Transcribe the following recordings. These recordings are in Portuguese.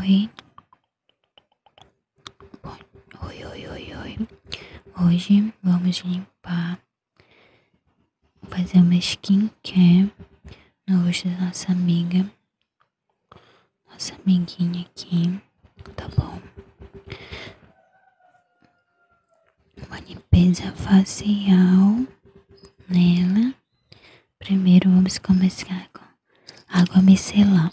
Oi. Oi, oi, oi, oi. Hoje vamos limpar, fazer uma skin skincare no rosto da nossa amiga, nossa amiguinha aqui, tá bom? Uma limpeza facial nela. Primeiro vamos começar com água micelar.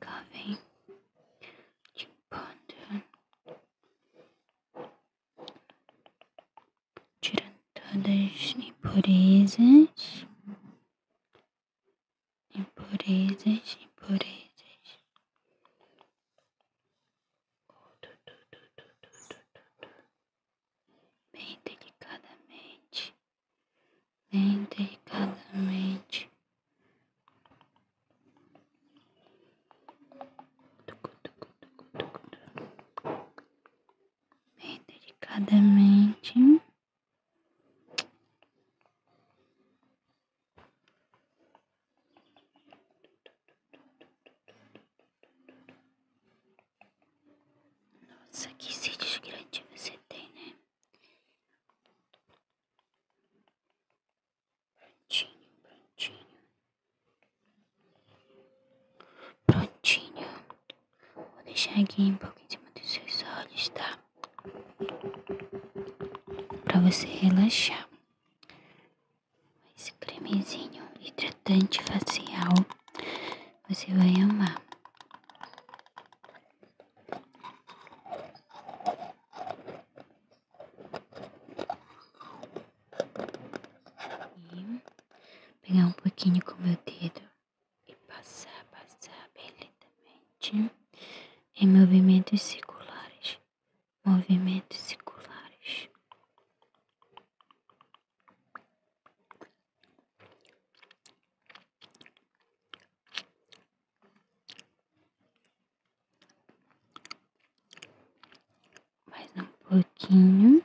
Cá vem limpando, tirando todas as impurezas, impurezas, impurezas bem delicadamente, bem delicadamente. Bem delicadamente. Nossa, que sítios grande você tem, né? Prontinho, prontinho. Prontinho. Vou deixar aqui um pouquinho em cima dos seus olhos, tá? Pra você relaxar esse cremezinho hidratante facial, você vai amar. E pegar um pouquinho com meu dedo e passar, passar bem lentamente em movimentos circulares movimentos circulares. Mais um pouquinho.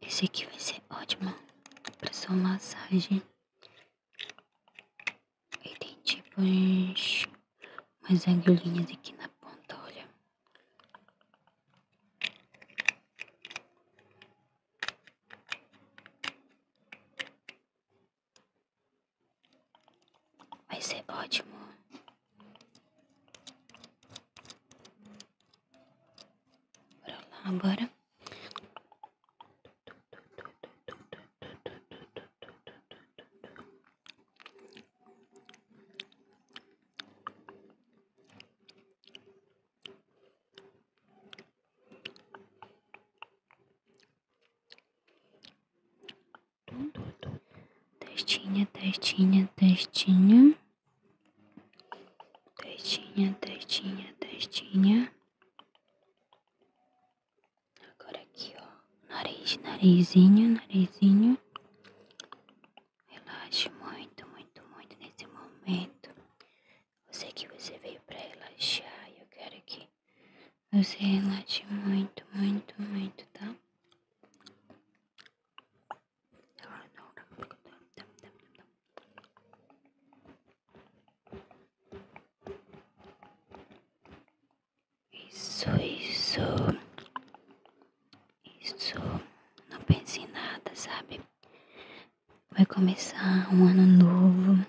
Esse aqui vai ser ótimo para sua massagem. E tem tipo umas agulhinhas aqui na ponta, olha. Vai ser ótimo. Bora lá, agora. Testinha, testinha, testinha. Testinha, testinha, testinha. Agora aqui, ó. Nariz, narizinho, narizinho. Relaxe muito, muito, muito nesse momento. Eu sei que você veio pra relaxar e eu quero que você relaxe muito, muito, muito, tá? Isso, isso. Isso. Não pense em nada, sabe? Vai começar um ano novo.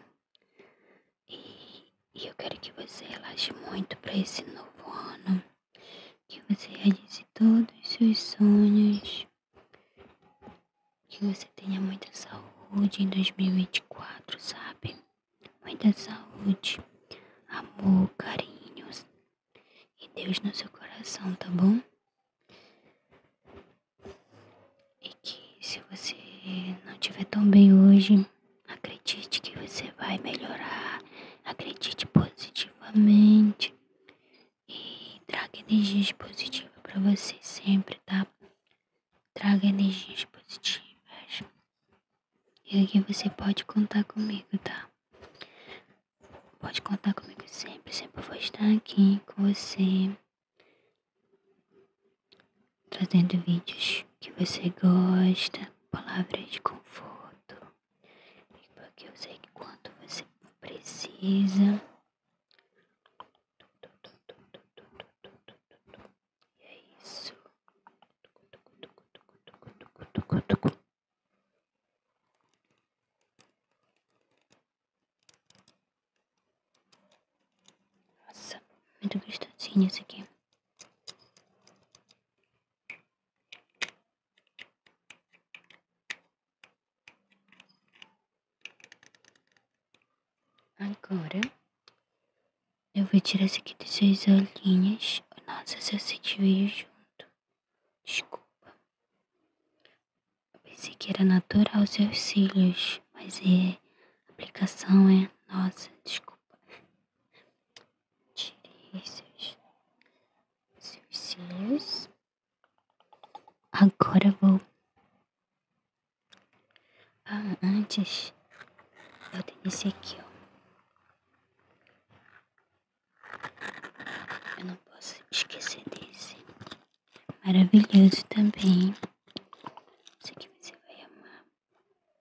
E, eu quero que você relaxe muito para esse novo ano que você realize todos os seus sonhos, que você tenha muita saúde em 2024, sabe? Muita saúde, amor, carinhos e Deus no seu coração, tá bom? E que se você não estiver tão bem hoje, acredite que você vai melhorar acredite positivamente e traga energias positivas para você sempre, tá? Traga energias positivas. E aqui você pode contar comigo, tá? Pode contar comigo sempre, sempre vou estar aqui com você, trazendo vídeos que você gosta, palavras de conforto, porque eu sei que quanto você precisa. E é isso. Nossa, muito gostosinho esse aqui. Agora, eu vou tirar essa aqui dessas olhinhas. Nossa, se assiste veio junto. Desculpa. Eu pensei que era natural seus cílios, mas é. aplicação é. Nossa, desculpa. Tirei seus, cílios. Agora vou. Ah, antes eu tenho esse aqui, ó. Eu não posso esquecer desse. Maravilhoso também. Isso aqui você vai amar.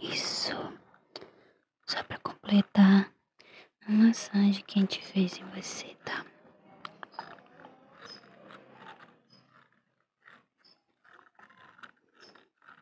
Isso. Só para completar a massagem que a gente fez em você, tá?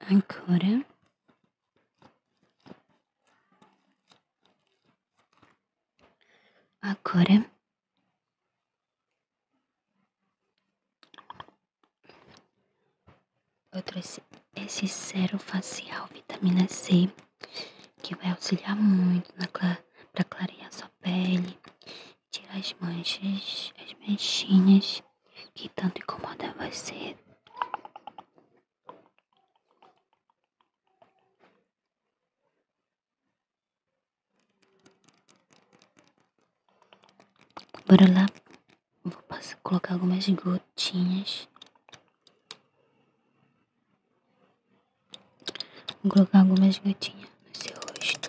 Agora, agora. Eu trouxe esse cero facial vitamina C que vai auxiliar muito na para clarear sua pele tirar as manchas as manchinhas que tanto incomoda você. Bora lá. Vou passar, colocar algumas gotinhas. Vou colocar algumas gotinhas no seu rosto.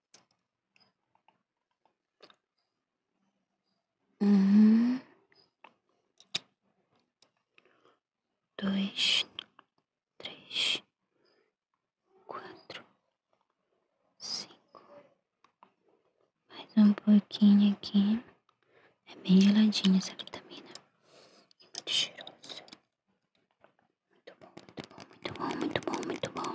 Um, uhum. dois, três, quatro, cinco. Mais um pouquinho aqui. É bem geladinha essa vitamina. E muito cheirosa. Muito bom, muito bom, muito bom, muito bom, muito bom.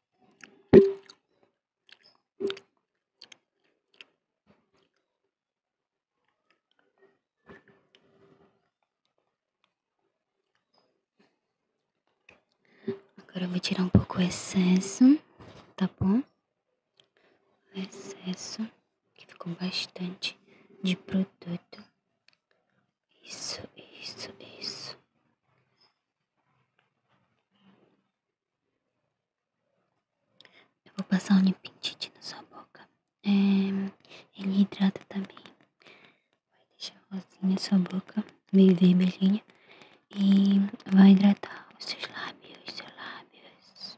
Agora eu vou tirar um pouco o excesso, tá bom? O excesso, que ficou bastante de produto. Isso, isso, isso. Eu vou passar um limpintite na sua boca. É, ele hidrata também. Vai deixar rosinha a sua boca, meio vermelhinha. E vai hidratar os seus lábios, seus lábios.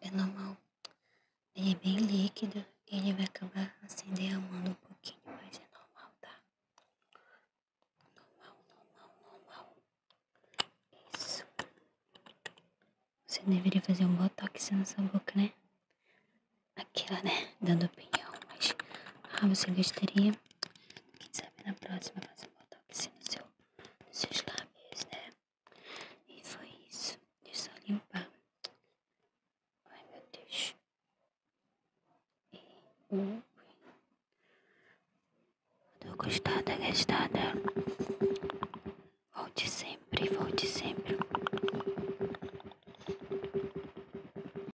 É normal. Ele é bem líquido e ele vai acabar a assim mão um pouquinho, mas é normal, tá? Normal, normal, normal. Isso. Você deveria fazer um botox na sua boca, né? Aquela, né? Dando opinião, mas... Ah, você gostaria quem sabe na próxima você botox no seu, nos seus lábios, né? E foi isso. É só limpar. Ai, meu Deus. E um. Uh, tô gostada, gastada. Volte sempre, volte sempre.